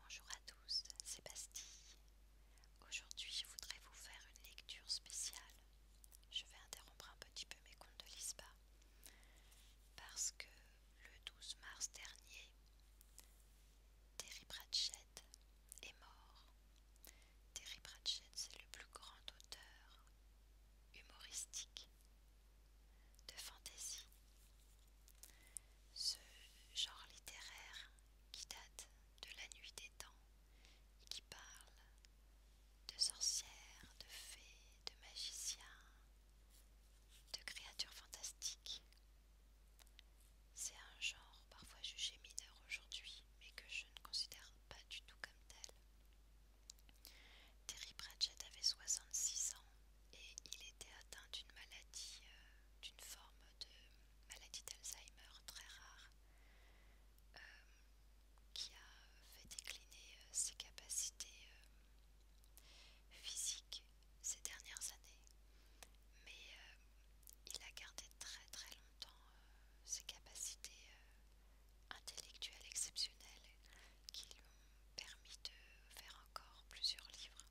Bonjour à tous, c'est Aujourd'hui je voudrais vous faire une lecture spéciale. Je vais interrompre un petit peu mes contes de l'ISPA parce que le 12 mars dernier, Terry Pratchett est mort. Terry Pratchett, c'est le plus grand auteur humoristique de fantaisie. Ce genre littéraire qui date de la nuit des temps et qui parle de sorcières, de fées, de magiciens, de créatures fantastiques. C'est un genre parfois jugé mineur aujourd'hui, mais que je ne considère pas du tout comme tel. Terry Pratchett avait 66 ans et il était atteint d'une maladie, euh, d'une forme de maladie d'Alzheimer très rare, euh, qui a fait décliner euh, ses capacités physiques ces dernières années. Mais il a gardé très très longtemps ses capacités intellectuelles exceptionnelles qui lui ont permis de faire encore plusieurs livres.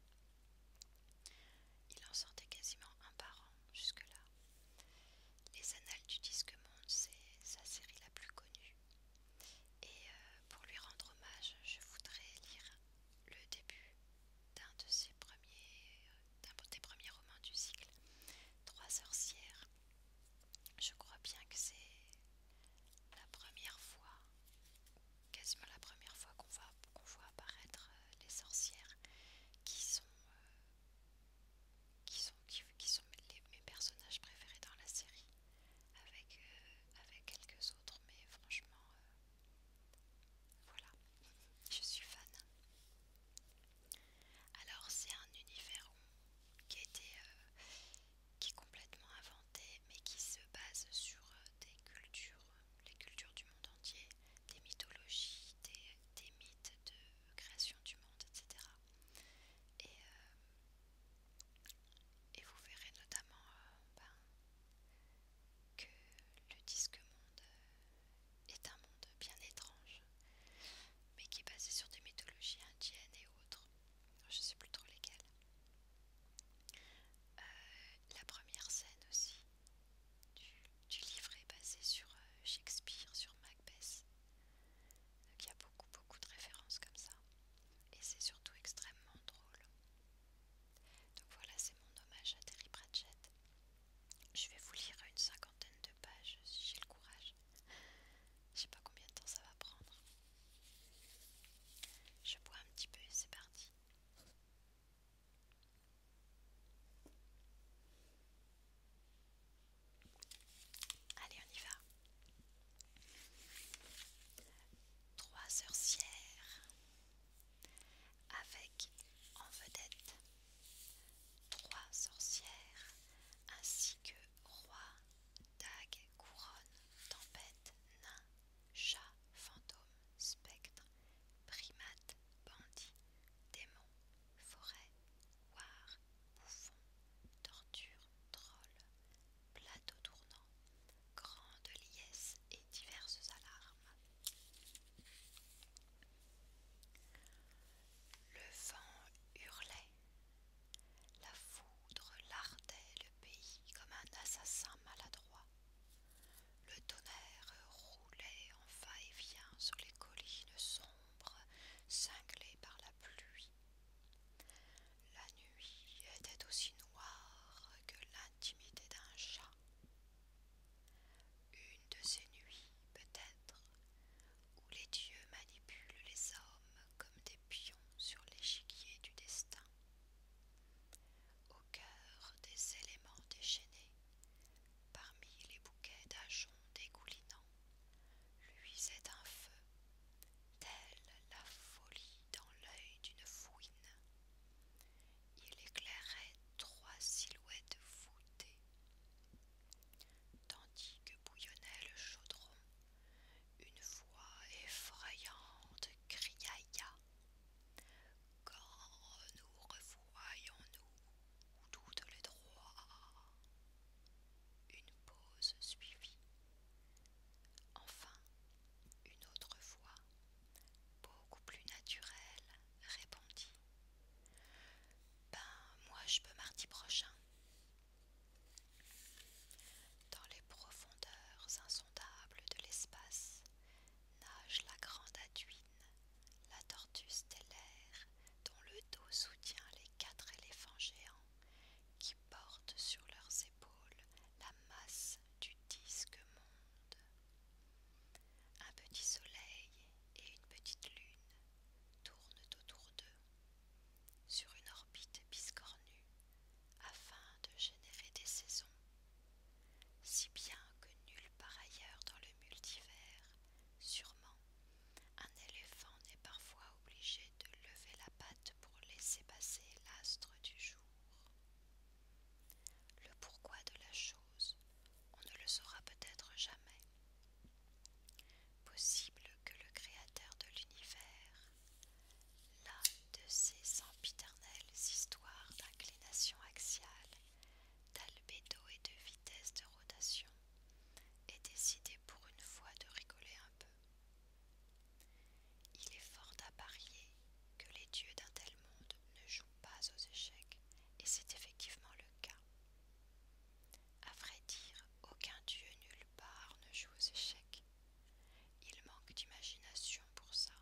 Il en sortait quasiment un par an jusque-là. Les Annales du Disque Monde, c'est sa série la plus connue. Et euh, pour lui rendre hommage, je voudrais lire le début d'un de ses premiers, premiers romans du cycle, Trois sorcières. Je crois bien que c'est la première fois quasiment la première fois qu'on voit, voit apparaître euh, les sorcières qui sont, euh, qui sont, qui, sont mes personnages préférés dans la série avec, euh, avec quelques autres mais franchement voilà je suis fan alors c'est un univers qui, était, qui est complètement inventé mais qui se base sur euh, des cultures, euh, les cultures du monde entier, des mythologies, des, mythes de création du monde, etc. Euh, et, vous verrez notamment ben, que le disque monde est un monde bien étrange, mais qui est basé sur des mythologies indiennes et autres. Je sais plus trop lesquelles. Euh, la première scène aussi du, livre est basée sur euh, Shakespeare, sur Macbeth. Donc il y a beaucoup beaucoup de références comme ça. Et c'est surtout extrêmement drôle. Donc voilà, c'est mon hommage à Terry Pratchett. Je vais vous lire une cinquantaine de pages si j'ai le courage. Je sais pas combien de temps ça va prendre. Je bois un petit peu et c'est parti. Allez, on y va. Trois sorcières avec en vedette trois sorcières ainsi que roi, dague, couronne, tempête, nain Chat, fantôme, spectre, primates, bandits, démons, forêt, war, bouffons, torture, troll, plateau tournant, grandes liesses et diverses alarmes. Le vent hurlait, la foudre lardait le pays comme un assassin maladroit. Le tonnerre roulait en va-et-vient sur les collines sombres, cinglées par la pluie. La nuit était aussi noire que l'intimité d'un chat. Une de ces nuits, peut-être, où les dieux manipulent les hommes comme des pions sur l'échiquier du destin au cœur des éléments déchaînés, parmi les bouquets d'ajoncs dégoulinants, luisait un feu, tel la folie dans l'œil d'une fouine. Il éclairait trois silhouettes voûtées, tandis que bouillonnait le chaudron, une voix effrayante criailla quand nous revoyons-nous toutes les droits. Une pause suivit. Enfin, une autre voix, beaucoup plus naturelle, répondit. Ben, moi je peux mardi prochain. Dans les profondeurs insondables de l'espace nage la grande aduine, la tortue stellaire dont le dos soutient les quatre éléphants géants qui portent sur leurs épaules la masse du disque monde. Un petit soleil et une petite lune tournent autour d'eux. Sur une orbite biscornue, afin de générer des saisons, si bien que nulle part ailleurs dans le multivers, sûrement, un éléphant n'est parfois obligé de lever la patte pour laisser passer l'astre du jour. Le pourquoi de la chose, on ne le saura peut-être jamais. Possible que le Créateur de l'univers L'un de ces sempiternelles histoires d'inclination axiale, d'albédo et de vitesse de rotation, est décidé pour une fois de rigoler un peu. Il est fort à parier que les dieux d'un tel monde ne jouent pas aux échecs, et c'est effectivement le cas. À vrai dire, aucun dieu nulle part ne joue aux échecs, il manque d'imagination pour ça.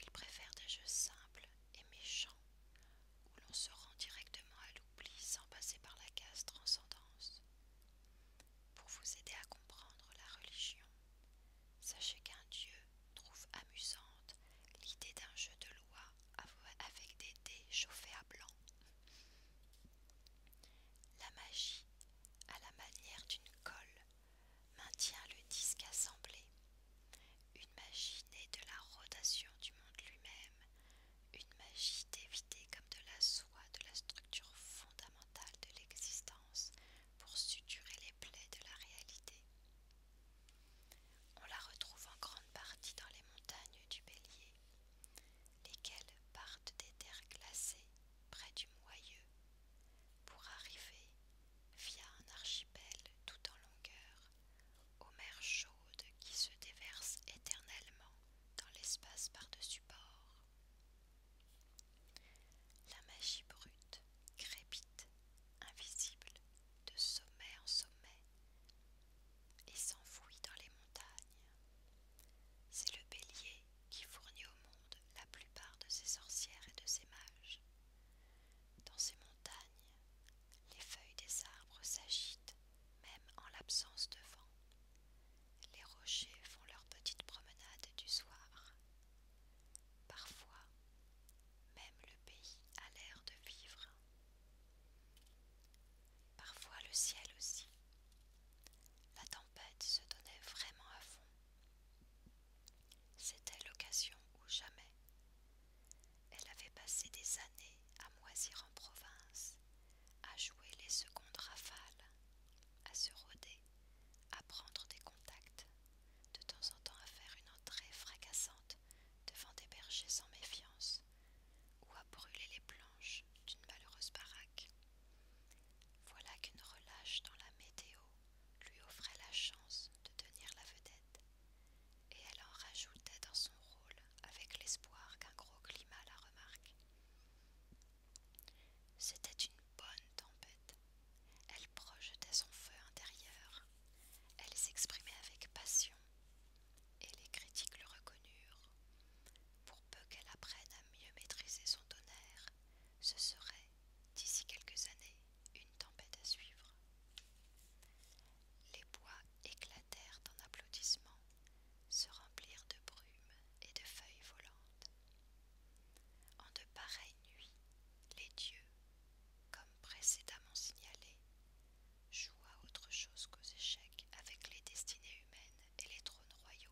Il préfère des jeux simples et méchants où l'on se rend directement à l'oubli sans passer par la case transcendance. Pour vous aider à comprendre la religion, sachez qu'un dieu trouve amusante l'idée d'un jeu de loi avec des dés chauffés à blanc. La magie, a la manière d'une colle, maintient le disque assemblé. Une magie née de la rotation du monde lui-même, une magie dévitée comme de la soie de la structure fondamentale de l'existence pour suturer les plaies de la réalité. On la retrouve en grande partie dans les montagnes du Bélier, lesquelles partent des terres glacées près du moyeu pour arriver via un archipel tout en longueur aux mers chaudes qui se déversent éternellement dans l'espace par-dessus bord. La magie brute crépite, invisible, de sommet en sommet, et s'enfouit dans les montagnes. C'est le bélier qui fournit au monde la plupart de ses sorcières et de ses mages. Dans ces montagnes, les feuilles des arbres s'agitent même en l'absence de vent. Les rochers font leur petite promenade du soir. Parfois, même le pays a l'air de vivre. Parfois le ciel aussi. La tempête se donnait vraiment à fond c'était l'occasion ou jamais. Elle avait passé des années à moisir en province, à jouer les secondes rafales, à se rôder, à prendre des contacts, de temps en temps à faire une entrée fracassante devant des bergers sans méfiance, ou à brûler les planches d'une malheureuse baraque. Voilà qu'une relâche dans la météo lui offrait la chance de tenir la vedette, et elle en rajoutait dans son rôle avec l'espoir qu'un gros climat la remarque. C'était une bonne tempête. Elle projetait son feu intérieur, elle s'exprimait avec passion, et les critiques le reconnurent. Pour peu qu'elle apprenne à mieux maîtriser son tonnerre, ce serait, d'ici quelques années, une tempête à suivre. Les bois éclatèrent en applaudissements, se remplirent de brumes et de feuilles volantes. En de pareilles nuits, les dieux, comme précédemment signalé, jouent à autre chose qu'aux échecs avec les destinées humaines et les trônes royaux.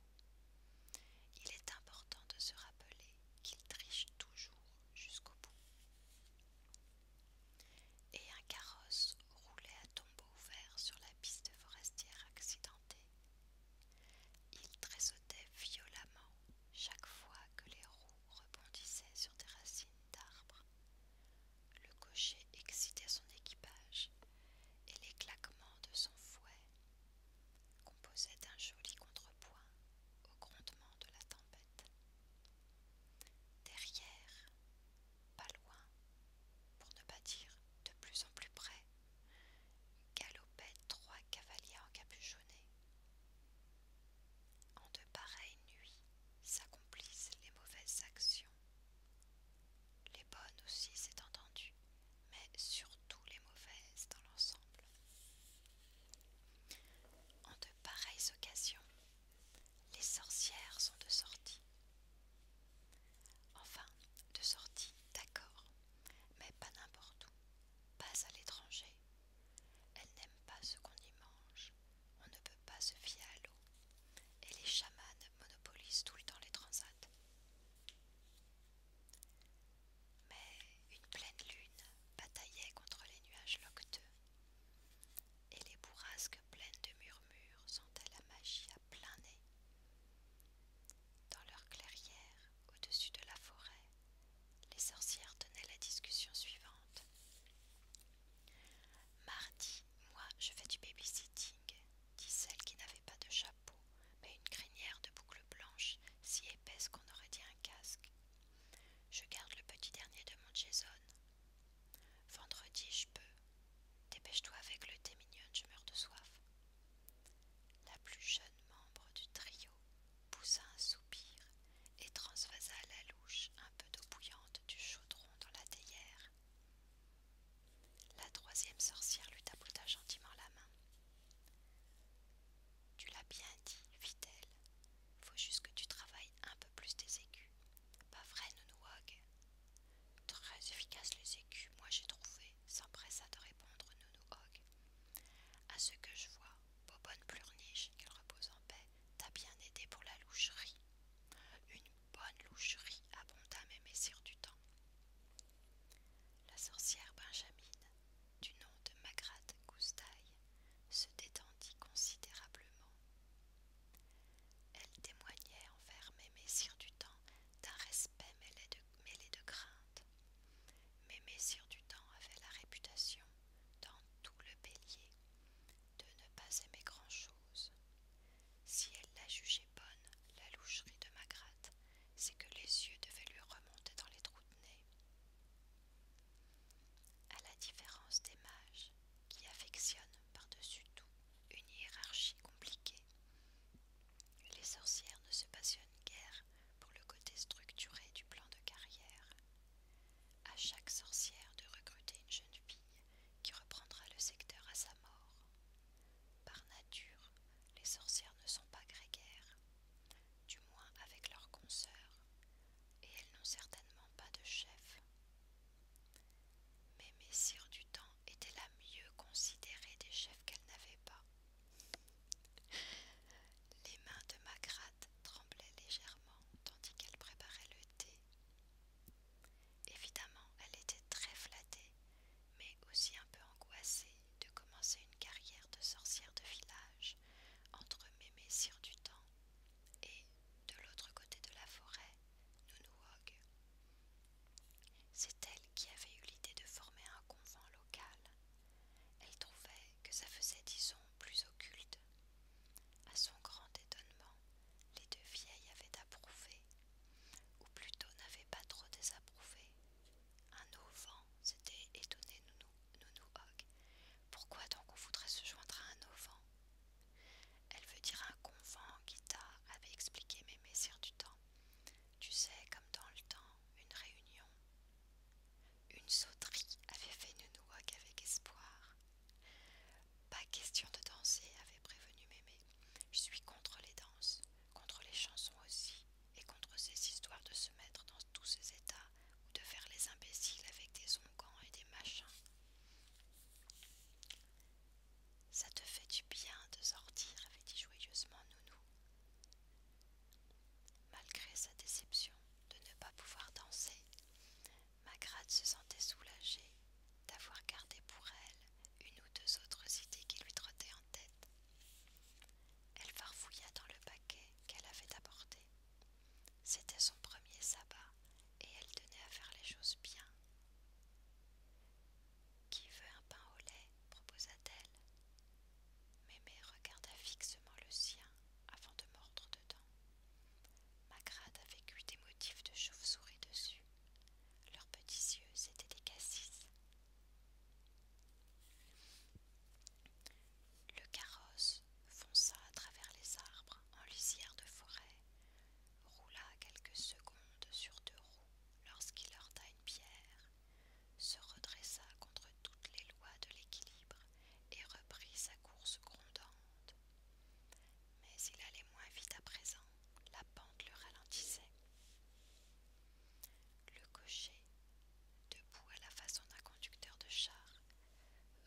Il est important de se rappeler qu'il triche toujours jusqu'au bout. Et un carrosse roulait à tombeau ouvert sur la piste forestière accidentée. Il tressautait violemment chaque fois que les roues rebondissaient sur des racines d'arbres. Le cocher excitait son équipage, et les claquements de son fouet composait un joli contrepoint au grondement de la tempête. Derrière, pas loin, pour ne pas dire de plus en plus près, galopaient trois cavaliers encapuchonnés. En de pareilles nuits s'accomplissent les mauvaises actions. Les bonnes aussi, c'est entendu, mais surtout les mauvaises dans l'ensemble. En de pareilles occasions, les sorcières sont de sortie. Enfin, de sortie, d'accord, mais pas n'importe où, pas à l'étranger. Elles n'aiment pas ce qu'on y mange, on ne peut pas se fier à l'eau, et les chamanes monopolisent tout le temps les transats mais une pleine lune bataillait contre les nuages locteux, et les bourrasques pleines de murmures sentaient la magie à plein nez. Dans leur clairière, au-dessus de la forêt, les sorcières tenaient la discussion suivante. Mardi, moi, je fais du babysitting dit celle qui n'avait pas de chapeau, mais une crinière de boucles blanches, si épaisse qu'on aurait dit un casque. Je garde le petit dernier de mon Jason. Vendredi, je peux. Dépêche-toi avec le thé mignonne, je meurs de soif. La plus jeune membre du trio poussa un soupir et transvasa à la louche un peu d'eau bouillante du chaudron dans la théière. La troisième sorcière lui tapota gentiment la main. Tu l'as bien dit, fit-elle. Faut juste que tu travailles un peu plus tes écus. Pas vrai, Hogue ?»« Très efficace les écus, moi j'ai trouvé, s'empressa de répondre Nounouog. À ce que je vois, Bobonne Plurniche, qu'elle repose en paix, t'a bien aidé pour la loucherie. Une bonne loucherie, abonda mes Sire du Temps. La sorcière Benjamine, du nom de Magrath Goustaille, se détendit considérablement. Elle témoignait envers Mémé du temps d'un respect mêlé de, crainte. Mémé du temps avait la réputation, dans tout le bélier, de ne pas aimer grand-chose. Si elle la jugeait bonne, la loucherie de Magratte, c'est que les yeux devaient lui remonter dans les trous de nez. À la différence des mages, qui affectionnent par-dessus tout une hiérarchie compliquée, les sorcières ne se passionnent guère pour le côté structuré du plan de carrière. À chaque sorcière de recruter une jeune fille qui reprendra le secteur à sa mort. Par nature, les sorcières ne sont pas grégaires, du moins avec leurs consoeurs, et elles n'ont certainement pas de chef. Mais Messire du temps était la mieux considérée des chefs qu'elle n'avait pas. Les mains de Magrath tremblaient légèrement tandis qu'elle préparait le thé. Évidemment, elle était très flattée mais aussi un peu angoissée de commencer une carrière de sorcière de village entre Mémé Sire du Temps et, de l'autre côté de la forêt, Nounouog. C'est elle qui avait eu l'idée de former un convent local. Elle trouvait que ça faisait, disons, plus occulte. À son grand étonnement, les deux vieilles avaient approuvé, ou plutôt n'avaient pas trop désapprouvé, un auvent ?» c'était s'était étonné Nounou, Pourquoi donc on voudrait se joindre à un auvent Elle veut dire un convent qui guitare, avait expliqué Mémé sur du Temps. Tu sais, comme dans le temps, une réunion. Une sauterie, avait fait Nounou Hogg avec espoir. Pas question de danser, avait prévenu Mémé. Je suis contre les danses, contre les chansons aussi, et contre ces histoires de se mettre dans tous ces états ou de faire les imbéciles avec des ongans et des machins. Ça te fait du bien de sortir, avait dit joyeusement Nounou. Malgré sa déception de ne pas pouvoir danser, Magrat se sentait soulagée d'avoir gardé pour elle une ou deux autres idées qui lui trottaient en tête. Elle farfouilla dans le paquet qu'elle avait apporté. C'était son premier sabbat et elle tenait à faire les choses bien. Qui veut un pain au lait proposa-t-elle. Mémé regarda fixement le sien avant de mordre dedans. Magrade avait eu des motifs de chauve-souris dessus. Leurs petits yeux étaient des cassis, le carrosse fonça à travers les arbres en lisière de forêt, roula quelques secondes sur deux roues lorsqu'il heurta une pierre, se redressa contre toutes les lois de l'équilibre et reprit sa course grondante. Mais il allait moins vite à présent, la pente le ralentissait. Le cocher, debout à la façon d'un conducteur de char,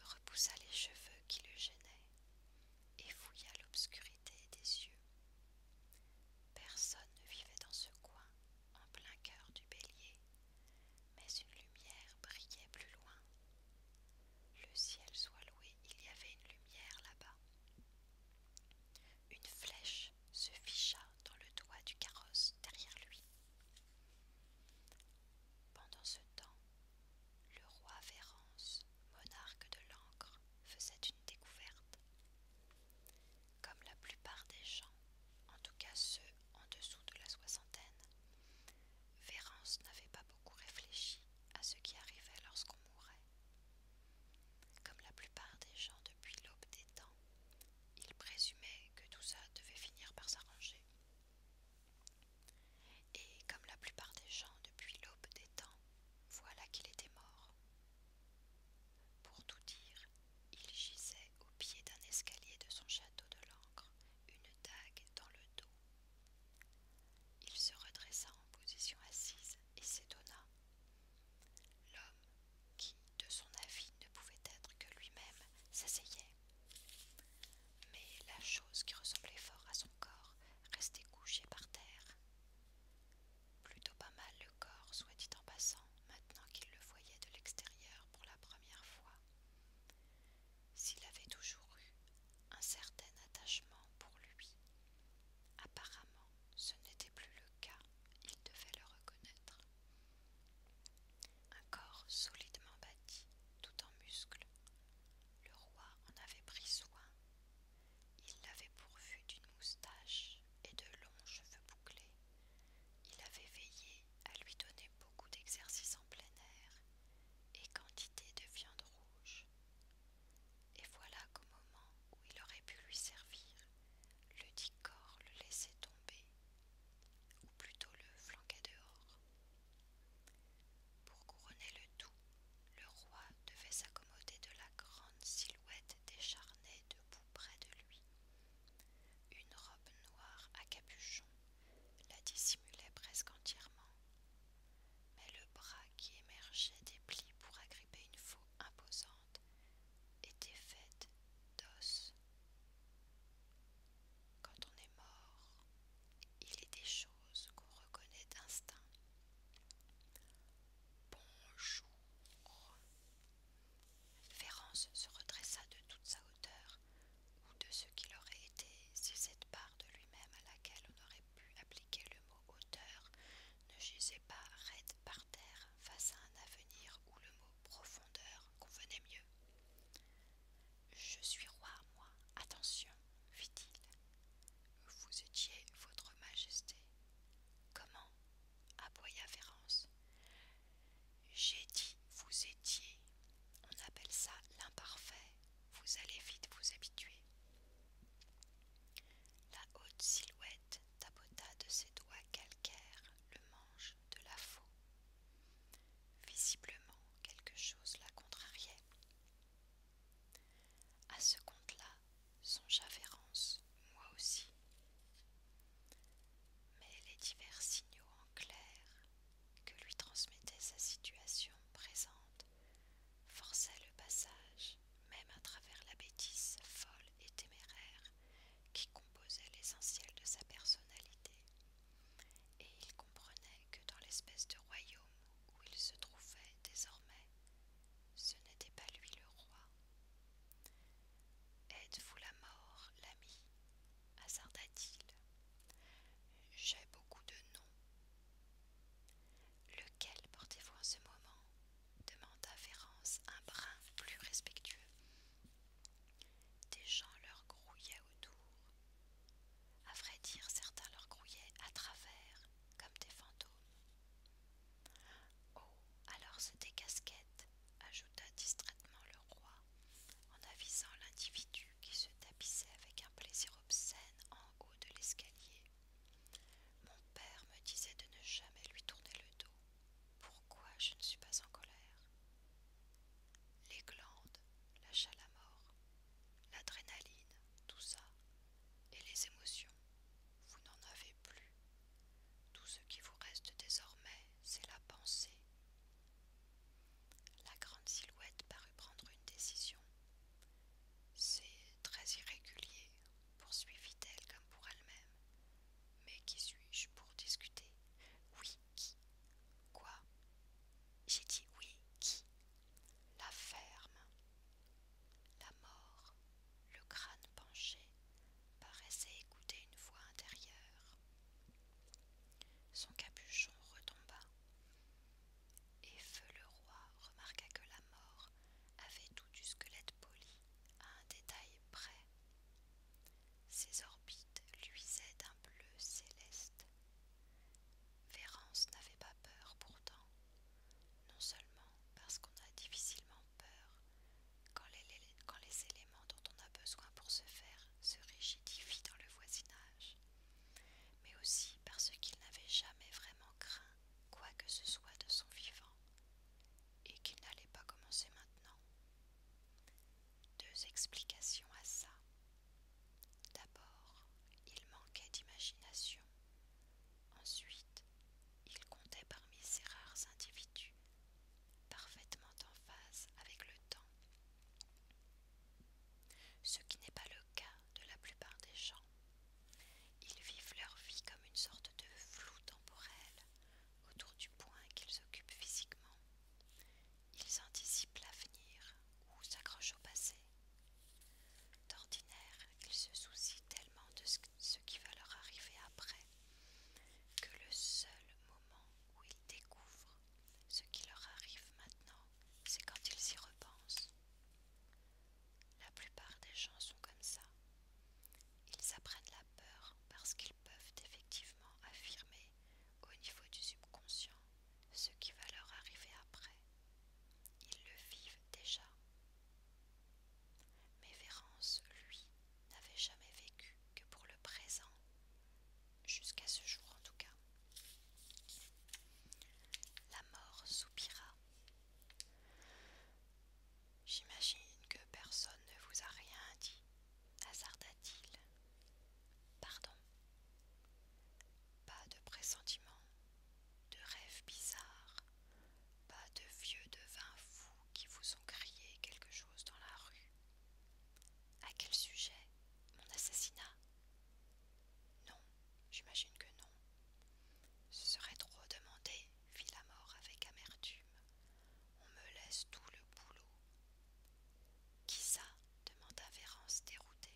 repoussa les cheveux qui le gênaient et fouilla l'obscurité des yeux. Personne ne vivait dans ce coin, en plein cœur du bélier, mais une lumière brillait plus loin. Le ciel soit loué, il y avait une lumière là-bas une flèche se ficha dans le doigt du carrosse derrière lui. Pendant ce temps, le roi Vérance, monarque de l'Ancre, faisait une découverte. Comme la plupart des gens, en tout cas ceux en dessous de la soixantaine, Vérance n'avait pas beaucoup réfléchi à ce qui arrivait lorsqu'on mourait. Comme la plupart des gens depuis l'aube des temps, il présumait que tout ça devait finir par s'arranger. Et comme la plupart des gens depuis l'aube des temps, voilà qu'il était mort. Pour tout dire, il gisait au pied d'un escalier de son château de l'encre, une dague dans le dos. Il se redressa en position assise et s'étonna. L'homme qui, de son avis, ne pouvait être que lui-même, s'asseyait. Mais la chose qui ressemblait fort à son corps restait couchée par terre. Plutôt pas mal le corps, soit dit en passant, maintenant qu'il le voyait de l'extérieur pour la première fois. S'il avait toujours eu un certain attachement pour lui, apparemment ce n'était plus le cas, il devait le reconnaître. Un corps solidement bâti, tout en muscles. Le roi en avait pris soin. Il l'avait pourvu d'une moustache et de longs cheveux bouclés. Il avait veillé à lui donner beaucoup d'exercices en plein air et quantité de viande rouge. Et voilà qu'au moment où il aurait pu lui servir, le dit corps le laissait tomber, ou plutôt le flanquait dehors. Pour couronner le tout, le roi devait s'accommoder de la grande silhouette décharnée debout près de lui. Une robe noire à capuchon la dissimulait presque entièrement, mais le bras qui émergeait des plis pour agripper une faux imposante « était faite d'os. Quand on est mort, il est des choses qu'on reconnaît d'instinct. Bonjour. Ferrance se redressa de toute sa hauteur, ou de ce qu'il aurait été si cette part de lui-même à laquelle on aurait pu appliquer le mot hauteur ne gisait pas raide par terre face à un avenir où le mot profondeur convenait mieux. Je suis roi, moi, attention, fit-il. Vous étiez votre majesté. Comment aboya Vérance. J'ai dit vous étiez. On appelle ça l'imparfait. Vous allez vite vous habituer. La haute silhouette Tabota de ses doigts calcaires le manche de la faux. Visiblement, quelque chose la contrariait. À ce compte-là, songea Vérance, moi aussi. Mais les divers signaux en clair que lui transmettait sa situation présente forçaient le passage même à travers la bêtise folle et téméraire qui composait l'essentiel de sa personnalité, et il comprenait que dans l'espèce de royaume où il se trouvait désormais, ce n'était pas lui le roi. Êtes-vous la mort, l'ami hasarda-t-il. J'ai beaucoup de noms. Lequel portez-vous en ce moment demanda Vérance un brin plus respectueux. Des gens leur grouillaient autour. À vrai dire, certains leur grouillaient à travers, comme des fantômes. Oh, alors se des ajouta distraitement le roi, en avisant l'individu qui se tapissait avec un plaisir obscène en haut de l'escalier. Mon père me disait de ne jamais lui tourner le dos. Pourquoi je ne suis pas en colère Les glandes, la mort, l'adrénaline, tout ça, et les émotions, vous n'en avez plus. Tout ce qui vous reste désormais, c'est la pensée. La grande silhouette parut prendre une décision. C'est très irrégulier, poursuivit-elle comme pour elle-même. Mais qui suis-je pour discuter Oui, qui Quoi J'ai dit oui, qui La ferme. La mort, le crâne penché, paraissait écouter une voix intérieure. Son capuchon retomba, et Feu le Roi remarqua que la mort avait du squelette poli à un détail près. Ses orbites luisaient d'un bleu céleste. Vérance n'avait pas peur pourtant, non seulement parce qu'on a difficilement peur quand les éléments dont on a besoin pour se faire se rigidifient dans le voisinage, mais aussi parce qu'il n'avait jamais vraiment craint quoi que ce soit de son vivant, et qu'il n'allait pas commencer maintenant. Deux explications à ça. D'abord, il manquait d'imagination. Ensuite, il comptait parmi ces rares individus, parfaitement en phase avec le temps. Ce qui n'est pas le cas de la plupart des gens. Ils vivent leur vie comme une sorte de flou temporel autour du point qu'ils occupent physiquement. Ils anticipent l'avenir ou s'accrochent au passé. D'ordinaire, ils se soucient tellement de ce qui va leur arriver après que le seul moment où ils découvrent ce qui leur arrive maintenant, c'est quand ils y repensent. La plupart des gens sont comme ça. Ils apprennent la peur parce qu'ils peuvent effectivement affirmer au niveau du subconscient ce qui va leur arriver après. Ils le vivent déjà. Mais Vérance, lui, n'avait jamais vécu que pour le présent, jusqu'à ce jour en tout cas. La mort soupira J'imagine que personne ne vous a rien dit, hasarda-t-il. Pardon. Pas de pressentiment, de rêves bizarres, pas de vieux devins fous qui vous ont crié quelque chose dans la rue. À quel sujet Mon assassinat Non, j'imagine que non. Ce serait trop demander, fit la mort avec amertume. On me laisse tout le boulot. Qui ça demanda Vérance déroutée.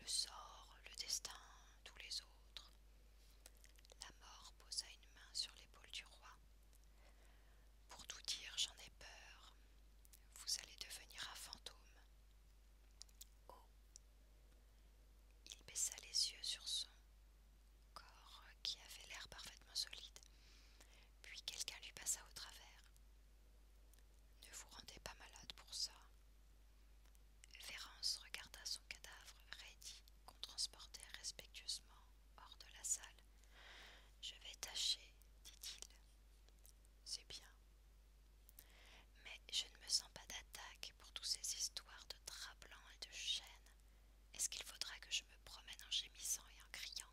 Le sort, le destin, tous les autres. La mort posa une main sur l'épaule du roi. Pour tout dire, j'en ai peur. Vous allez devenir un fantôme. Oh. Il baissa les yeux sur son corps qui avait l'air parfaitement solide, puis quelqu'un lui passa au travers. Ne vous rendez pas malade pour ça. Vérance regarda son cadavre raidi qu'on transportait respectueusement hors de la salle. Je vais tâcher, dit-il. C'est bien. Mais je ne me sens pas d'attaque pour toutes ces histoires de de drap blanc et de chêne. Est-ce qu'il faudra que je me promène en gémissant et en criant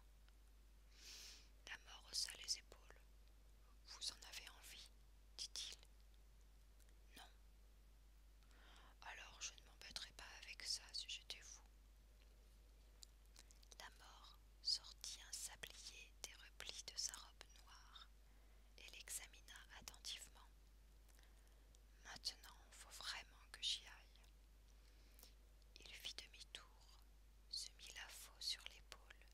La mort haussa les épaules. Vous en avez envie dit-il. Non. Alors je ne m'embêterai pas avec ça si j'étais vous. La mort sortit un sablier des replis de sa robe noire et l'examina attentivement. Maintenant, il faut vraiment que j'y aille. Il fit demi-tour, se mit la faux sur l'épaule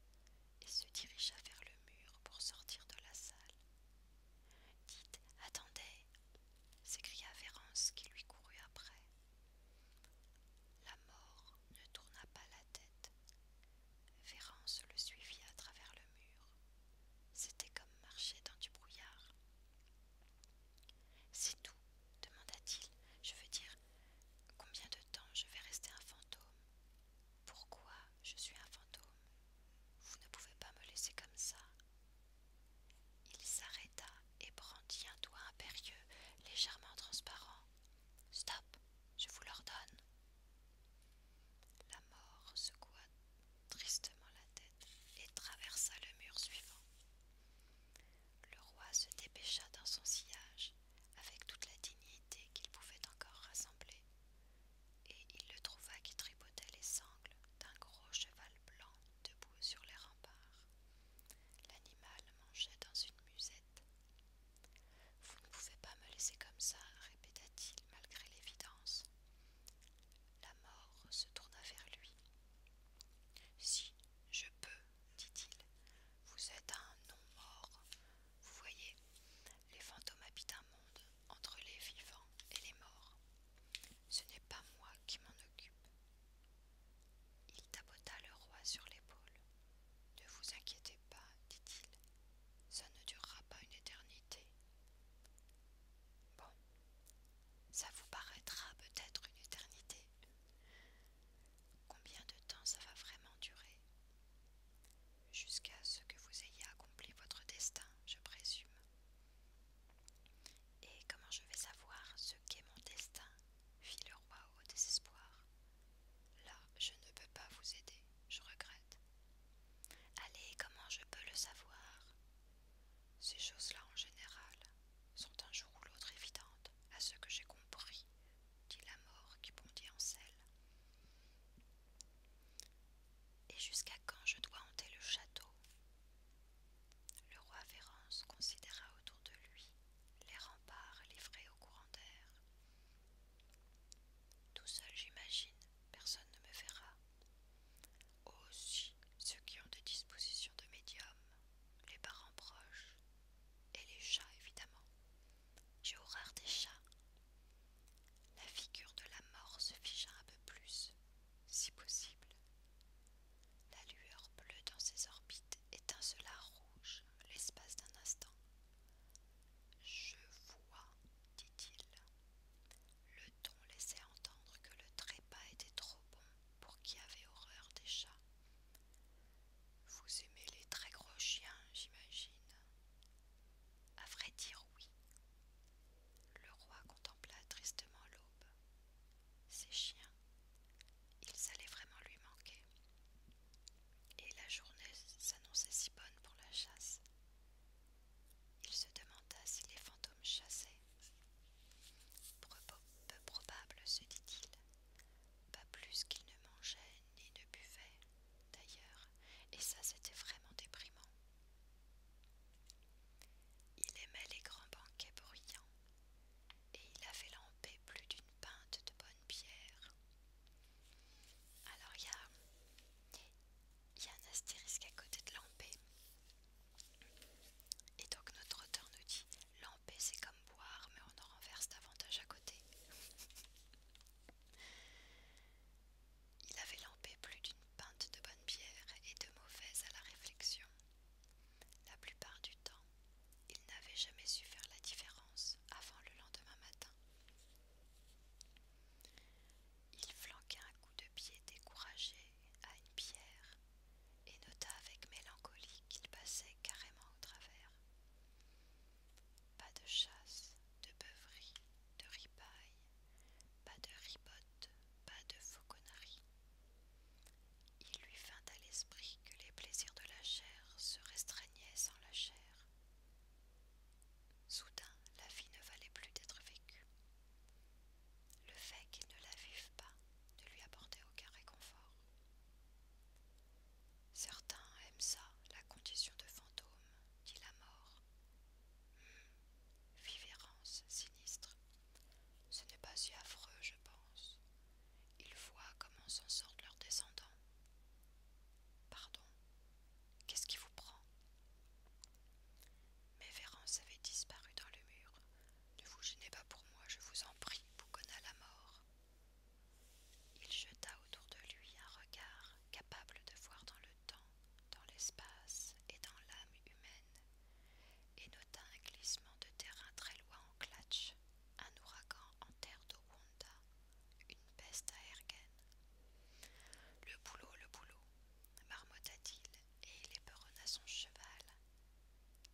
et se dirigea vers le mur pour sortir de la salle. Dites, attendez s'écria Vérance qui lui courut après. La mort ne tourna pas la tête. Vérance le suivit à travers le mur. C'était comme marcher dans du brouillard. C'est tout demanda-t-il. Je veux dire, combien de temps je vais rester un fantôme Pourquoi je suis un fantôme Vous ne pouvez pas me laisser comme ça. Il s'arrêta et brandit un doigt impérieux, légèrement transparent. Stop, je vous l'ordonne. La mort secoua tristement la tête et traversa le mur suivant. Le roi se dépêcha dans son sillage avec toute la dignité qu'il pouvait encore rassembler, et il le trouva qui tripotait les sangles d'un gros cheval blanc debout sur les remparts. L'animal mangeait dans une musette. Vous ne pouvez pas me laisser comme ça, répéta-t-il malgré l'évidence. La mort se tourna vers lui. Si je peux, dit-il, vous êtes un non-mort. Vous voyez, les fantômes habitent un monde entre les vivants et les morts. Ce n'est pas moi qui m'en occupe. Il tapota le roi sur l'épaule. Ne vous inquiétez pas, dit-il, ça ne durera pas une éternité. Bon, ça vous paraîtra peut-être une éternité. Combien de temps ça va vraiment durer Jusqu'à ce que vous ayez accompli votre destin, je présume. Et comment je vais savoir ce qu'est mon destin fit le roi au désespoir. Là, je ne peux pas vous aider, je regrette. Allez, comment je peux le savoir Ces choses-là en général sont un jour ou l'autre évidentes, à ce que j'ai compris, dit la mort qui bondit en selle. Et jusqu'à quand je dois hanter le château Le roi Vérance considéra autour de lui les remparts livrés au courant d'air. Tout seul, j'imagine, personne ne me verra. Aussi ceux qui ont des dispositions de médium, les parents proches, et les chats évidemment. J'ai horreur des chats. La figure de la mort se figea un peu plus, si possible. La lueur bleue dans ses orbites étincela rouge l'espace d'un instant. Je vois, dit-il. Le ton laissait entendre que le trépas était trop bon pour qui avait horreur des chats. Vous aimez les très gros chiens, j'imagine. À vrai dire, oui. Le roi contempla tristement l'aube. Ses chiens, ils allaient vraiment lui manquer. Et la journée s'annonçait si bonne pour la chasse. Il se demanda si les fantômes chassaient. Peu probable, se dit-il. Pas plus qu'il ne mangeait ni ne buvait, d'ailleurs, et ça c'était vraiment déprimant. Il aimait les grands banquets bruyants, et il avait lampé plus d'une pinte de bonne pierre. Alors, il il y a un astérisque à côté de lampé. Et donc notre auteur nous dit lampé c'est comme boire mais on en renverse davantage à côté. Il avait lampé plus d'une pinte de bonne bière et de mauvaise à la réflexion. La plupart du temps, il n'avait jamais su faire la différence avant le lendemain matin. Il flanqua un coup de pied découragé à une pierre et nota avec mélancolie qu'il passait carrément au travers. Pas de chasse, de beuverie, de ripaille, pas de ribotte, pas de fauconnerie. Il lui vint à l'esprit que les plaisirs de la chair se restreignaient sans la chair. Soudain, la vie ne valait plus d'être vécue. Le fait qu'ils ne la vivent pas ne lui apportait aucun réconfort. Certains aiment ça, la condition de fantôme, dit la mort. Hum, vivérance sinistre. Ce n'est pas si affreux, je pense. Ils voient comment s'en sortent leurs descendants. Pardon, Qu'est-ce qui vous prend Mais Vérance avait disparu dans le mur. Ne vous gênez pas pour moi, je vous en prie, à la mort. Il jeta autour de lui un regard capable de voir dans le temps, dans l'espace et dans l'âme humaine, et nota un glissement de terrain très loin en clatch, un ouragan en terre de une peste à Ergen. Le boulot, le boulot, marmotta-t-il et il éperonna son cheval,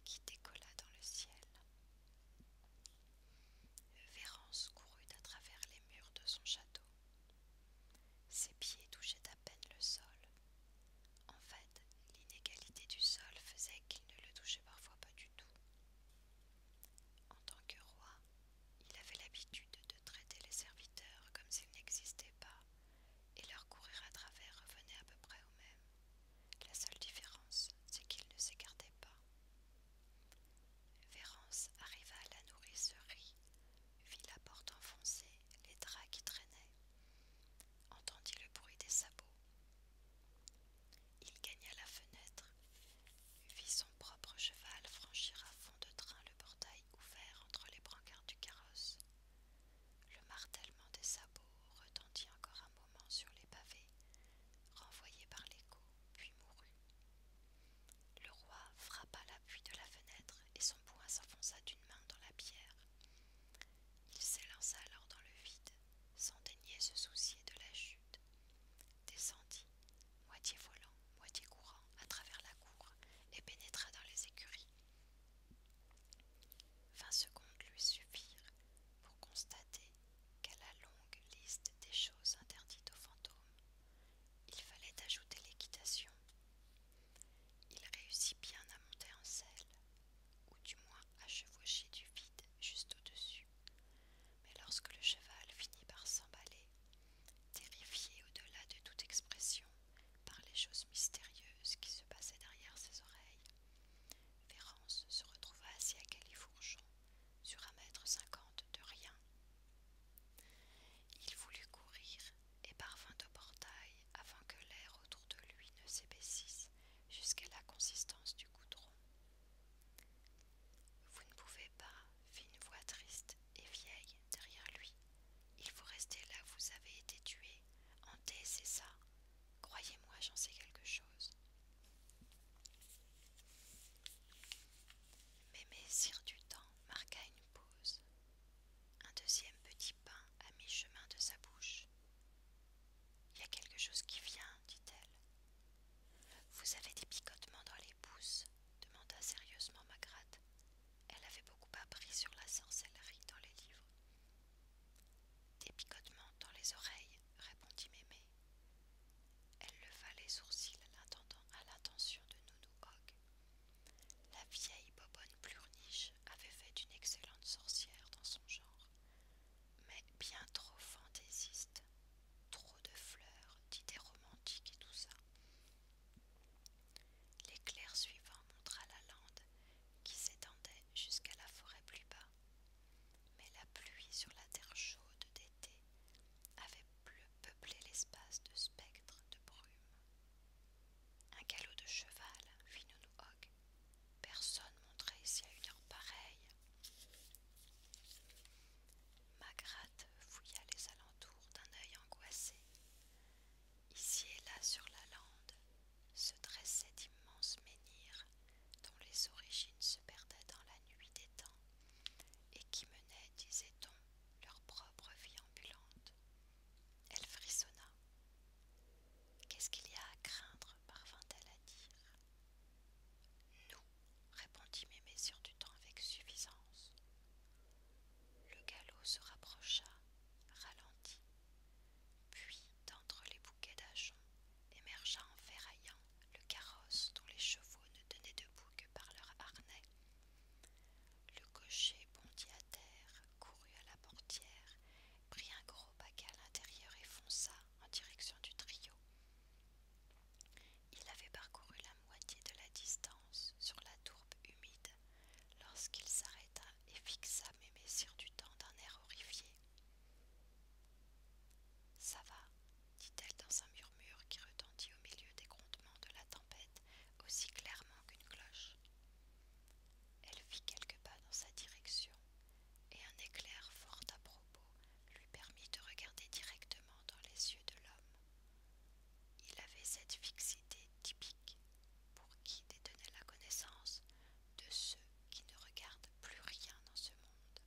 qui décolla dans le ciel. Vérance courut à travers les murs de son château. Ses pieds touchaient à peine le sol. En fait, l'inégalité du sol faisait qu'il ne le touchait parfois pas du tout. En tant que roi, il avait l'habitude de traiter les serviteurs comme s'ils n'existaient pas, et leur courir à travers revenait à peu près au même. La seule différence, c'est qu'ils ne s'écartaient pas. Vérance arriva à la nourricerie, vit la porte enfoncée, les draps qui traînaient, entendit le bruit des sabots. Il gagna la fenêtre, vit son propre cheval franchira à fond de train le portail ouvert entre les brancards du carrosse. Le martèlement des sabots retentit encore un moment sur les pavés, renvoyé par l'écho, puis mourut. Le roi frappa l'appui de la fenêtre et son poing s'enfonça d'une main dans la pierre. Il s'élança alors dans le vide, sans daigner se soucier de la chute, descendit moitié volant, moitié courant, à travers la cour, et pénétra dans les écuries. Vingt secondes lui suffirent pour constater qu'à la longue liste des choses interdites aux fantômes, il fallait ajouter l'équitation. Il réussit bien à monter en selle, ou du moins à chevaucher du vide juste au-dessus. Mais lorsque le cheval finit par s'emballer terrifié au-delà de toute expression par les choses mystérieuses qui se passaient derrière ses oreilles. Vérance se retrouva assis à Califourchon, sur un mètre cinquante de rien. Il voulut courir et parvint au portail afin que l'air autour de lui ne s'épaississe jusqu'à la consistance du goudron. Vous ne pouvez pas, fit une voix triste et vieille derrière lui. Il faut rester là vous avez été tué. Hanté, c'est ça. Croyez-moi, j'en sais quelque chose. Mémé Sire du Temps marqua une pause. Un deuxième petit pain à mi-chemin de sa bouche. Il y a quelque chose qui vient, dit-elle. Vous avez des picotements dans les pouces demanda sérieusement Magrat. Elle avait beaucoup appris sur la sorcellerie dans les livres. Des picotements dans les oreilles, répondit Mémé. Elle leva les sourcils à l'attention de Nounou Hogg. La vieille bobonne plurniche avait fait une excellente sorcière dans son genre, mais bien trop fantaisiste. Trop de fleurs, d'idées romantiques et tout ça. L'éclair suivant montra la lande qui s'étendait jusqu'à la forêt plus bas, mais la pluie sur la terre chaude d'été avait peuplé l'espace de spectres de brume. Un galop de cheval, fit Nounou Personne Personne montrait ici à une heure pareille. Magrate fouilla les alentours d'un œil angoissé. Ici et là sur la lande se dressaient d'immenses menhirs dont les origines se perdaient dans la nuit des temps et qui menaient, disait-on, leur propre vie ambulante. Elle frissonna. Qu'est-ce qu'il y a à craindre parvint-elle à dire. Nous, répondit Mémé sur du temps avec suffisance. Le galop se rapprocha, ralentit, puis d'entre les bouquets d'ajoncs émergea en ferraillant le carrosse dont les chevaux ne tenaient debout que par leurs harnais. Le cocher bondit à terre, courut à la portière, prit un gros paquet à l'intérieur et fonça en direction du trio. Il avait parcouru la moitié de la distance sur la tourbe humide lorsqu'il s'arrêta et fixa mes du temps d'un air horrifié. Ça va, dit-elle dans un murmure qui retentit au milieu des grondements de la tempête aussi clairement qu'une cloche. Elle fit quelques pas dans sa direction, et un éclair fort à propos lui permit de regarder directement dans les yeux de l'homme. Il avait cette fixité typique pour qui détenait la connaissance de ceux qui ne regardent plus rien dans ce monde.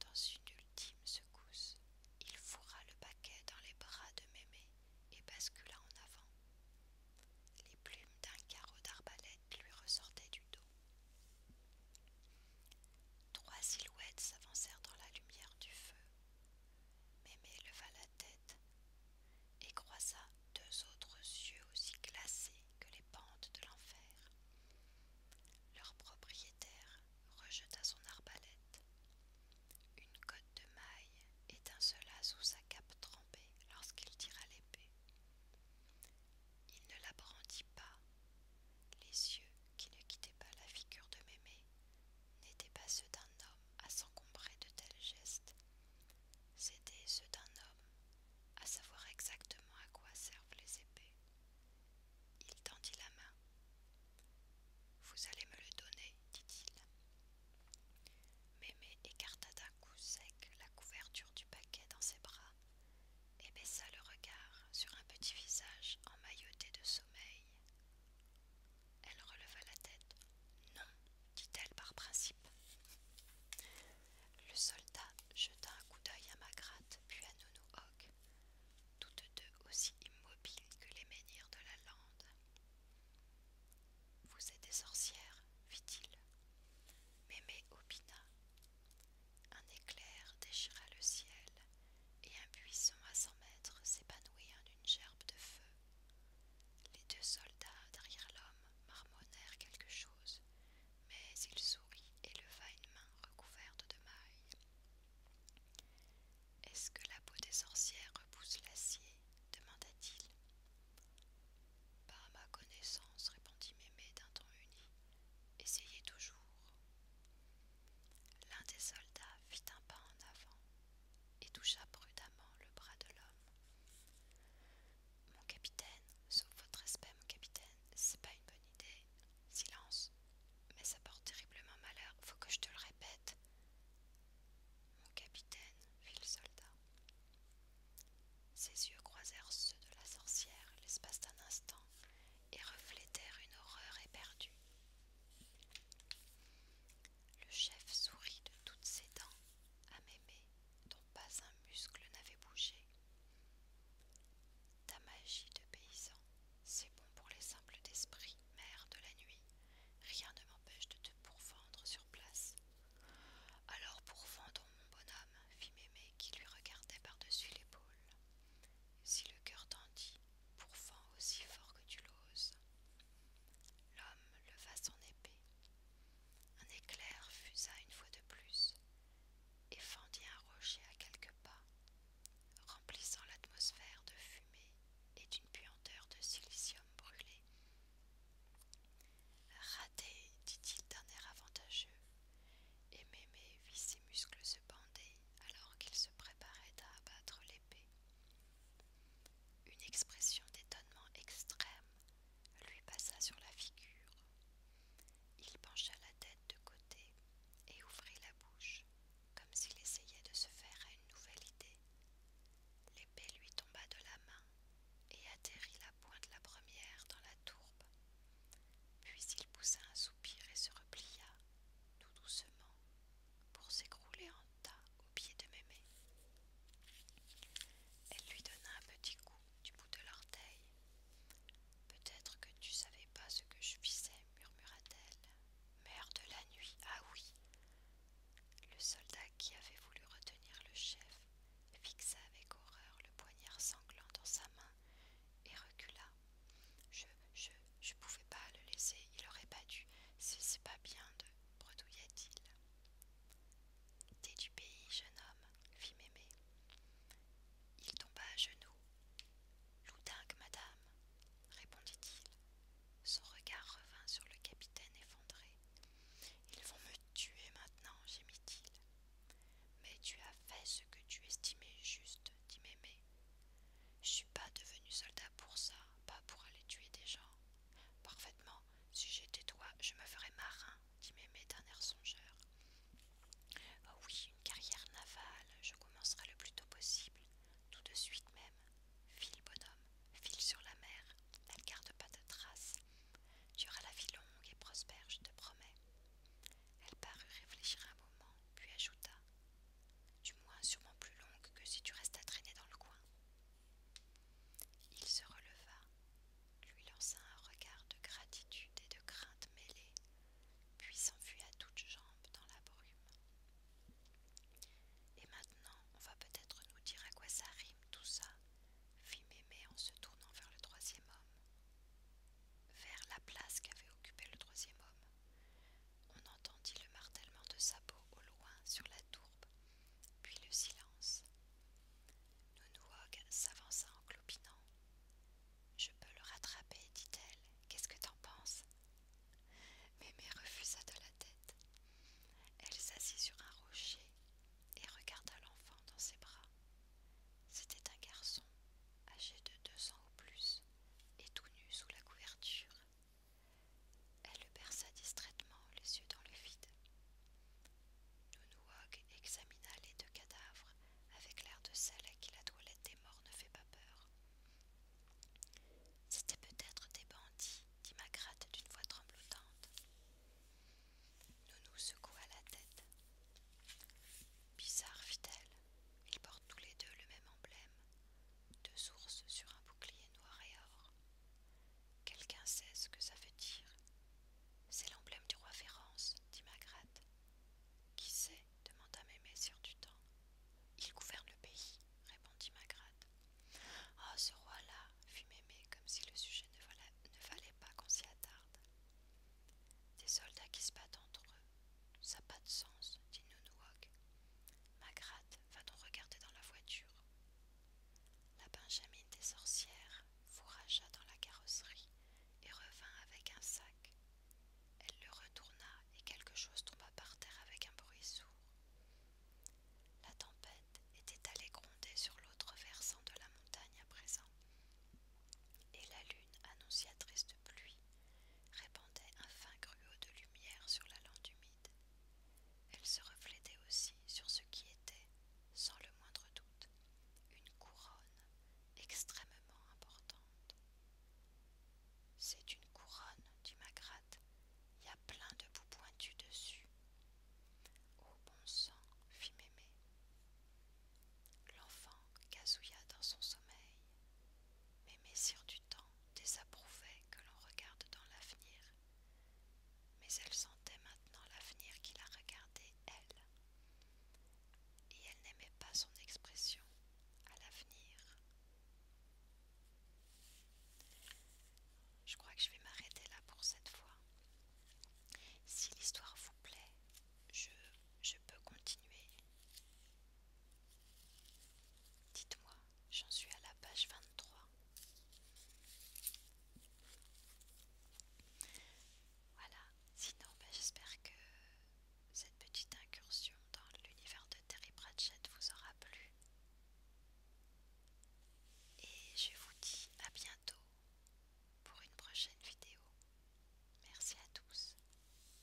Dans une ultime secousse, il fourra le paquet dans les bras de Mémé et bascula en avant. Les plumes d'un carreau d'arbalète lui ressortaient du dos. Trois silhouettes s'avancèrent dans la lumière du feu, Mémé leva la tête et croisa deux autres yeux aussi glacés que les pentes de l'enfer. Leur propriétaire rejeta son arbalète. Une cotte de maille étincela sous sa cape trempée lorsqu'il tira l'épée. Il ne la brandit pas, les yeux qui ne quittait pas la figure de Mémé, n'étaient pas ceux d'un homme à s'encombrer de tels gestes. C'étaient ceux d'un homme à savoir exactement à quoi servent les épées. Il tendit la main. Vous allez me le donner, dit-il. Mémé écarta d'un coup sec la couverture du paquet dans ses bras et baissa le regard sur un petit visage emmailloté de sommeil, elle releva la tête. Non, dit-elle par principe. Le soldat jeta un coup d'œil à Magratte, puis à Nono toutes deux aussi immobiles que les menhirs de la lande. Vous êtes des sorcières, fit-il. Mémé opina. Un éclair déchira le ciel et un buisson à cent mètres s'épanouit en une gerbe de feu. Les deux soldats, derrière l'homme, marmonnèrent quelque chose, mais il sourit et leva une main recouverte de mailles. Est-ce que la peau des sorcières repousse l'acier demanda-t-il. Par ma connaissance, répondit Mémé d'un ton uni, essayez toujours. L'un des soldats fit un pas en avant et toucha prudemment le bras de l'homme. Mon capitaine, sauf votre respect, mon capitaine, c'est pas une bonne idée. Silence. Mais ça porte terriblement malheur, faut que je te le répète. Mon capitaine, fit le soldat. Ses yeux croisèrent ceux de la sorcière l'espace d'un instant et reflétèrent une horreur éperdue. Le chef sourit de toutes ses dents à Mémé, dont pas un muscle n'avait bougé. Ta magie de paysan, c'est bon pour les simples d'esprit, mère de la nuit. Rien ne m'empêche de te pourfendre sur place. Alors vendre, mon bonhomme, fit Mémé qui lui regardait par-dessus l'épaule. Si le cœur tendit, pourfend aussi fort que tu l'oses. L'homme leva son épée. Un éclair fusa une fois de plus et fendit un rocher à quelques pas, remplissant l'atmosphère de fumée et d'une puanteur de silicium brûlé. Raté, dit-il d'un air avantageux, et Mémé vit ses muscles se bander alors qu'il se préparait à abattre l'épée. Une expression d'étonnement extrême lui passa sur la figure. Il pencha la tête de côté et ouvrit la bouche, comme s'il essayait de se faire à une nouvelle idée. L'épée lui tomba de la main et atterrit la pointe la première dans la tourbe. Puis il poussa un soupir et se replia, tout doucement, pour s'écrouler en tas au pied de Mémé. Elle lui donna un petit coup du bout de l'orteil. Peut-être que tu savais pas ce que je faisais, murmura-t-elle. Mère de la nuit, ah oui Le soldat qui avait voulu retenir le chef fixa avec horreur le poignard sanglant dans sa main et recula je, je, je pouvais pas le laisser, il aurait pas dû. C'est pas bien de. bredouilla il T'es du pays, jeune homme, fit Mémé. Il tomba à genoux. Loudingue, madame, répondit-il. Son regard revint sur le capitaine effondré. Ils vont me tuer maintenant, gémit-il. Mais tu as fait ce que tu estimais juste, dit Mémé. Je suis pas devenu soldat pour ça, pas pour aller tuer des gens. Parfaitement, si j'étais toi, je me ferais marin, dit Mémé d'un air songeur. Oh oui, une carrière navale, je commencerai le plus tôt possible, tout de suite même. File, bonhomme, file sur la mer, elle garde pas de traces. Tu auras la vie longue et prospère, je te promets. Elle parut réfléchir un moment, puis ajouta du moins sûrement plus longue que si tu restes à traîner dans le coin. Il se releva, lui lança un regard de gratitude et de crainte mêlée, puis s'enfuit à toutes jambes dans la brume. Et maintenant, on va peut-être nous dire à quoi ça rime tout ça, fit Mémé en se tournant vers le troisième homme. Vers la place qu'avait occupée le troisième homme, on entendit le martèlement de sa peau au loin sur la tourbe, puis le silence. Nounouog s'avança en clopinant. Je peux le rattraper, dit-elle. Qu'est-ce que t'en penses Mémé refusa de la tête. Elle s'assit sur un rocher et regarda l'enfant dans ses bras. C'était un garçon, âgé de deux ans ou plus, et tout nu sous la couverture. Elle le berça distraitement les yeux dans le vide. Nounouog examina les deux cadavres avec l'air de celle à qui la toilette des morts ne fait pas peur. C'était peut-être des bandits, dit m'agratte d'une voix tremblotante. Nounou secoua la tête. Bizarre, fit-elle. Ils portent tous les deux le même emblème, deux ours sur un bouclier noir et or. Quelqu'un sait ce que ça veut dire. C'est l'emblème du roi Férence, dit Magrate. Qui sait demanda Mémé sur du temps. Il gouverne le pays, répondit Magrate. Ah, ce roi-là, fit Mémé comme si le sujet ne, fallait ne valait pas qu'on s'y attarde. Des soldats qui se battent entre eux ça n'a pas de sens, dit Nounouok. Magrate, va nous regarder dans la voiture. La benjamine des sorcières fourragea dans la carrosserie et revint avec un sac. Elle le retourna et quelque chose tomba par terre avec un bruit sourd. La tempête était allée gronder sur l'autre versant de la montagne à présent, et la lune annonciatrice triste pluie répandait un fin gruau de lumière sur la lande humide. Elle se reflétait aussi sur ce qui était, sans le moindre doute, une couronne extrêmement importante. C'est une couronne, dit magrat il y a plein de bouts pointus dessus. Oh bon sang, fit Mémé. L'enfant gazouilla dans son sommeil. Mémé tant désapprouvait que l'on regarde dans l'avenir, mais elle sentait maintenant l'avenir qui la regardait, elle. Et elle n'aimait pas son expression à l'avenir. Je crois que je vais m'arrêter là pour cette fois. Si l'histoire vous plaît, je peux continuer Dites-moi, j'en suis à la page 23. Voilà, sinon ben, j'espère que cette petite incursion dans l'univers de Terry Pratchett vous aura plu. Et je vous dis à bientôt pour une prochaine vidéo. Merci à tous.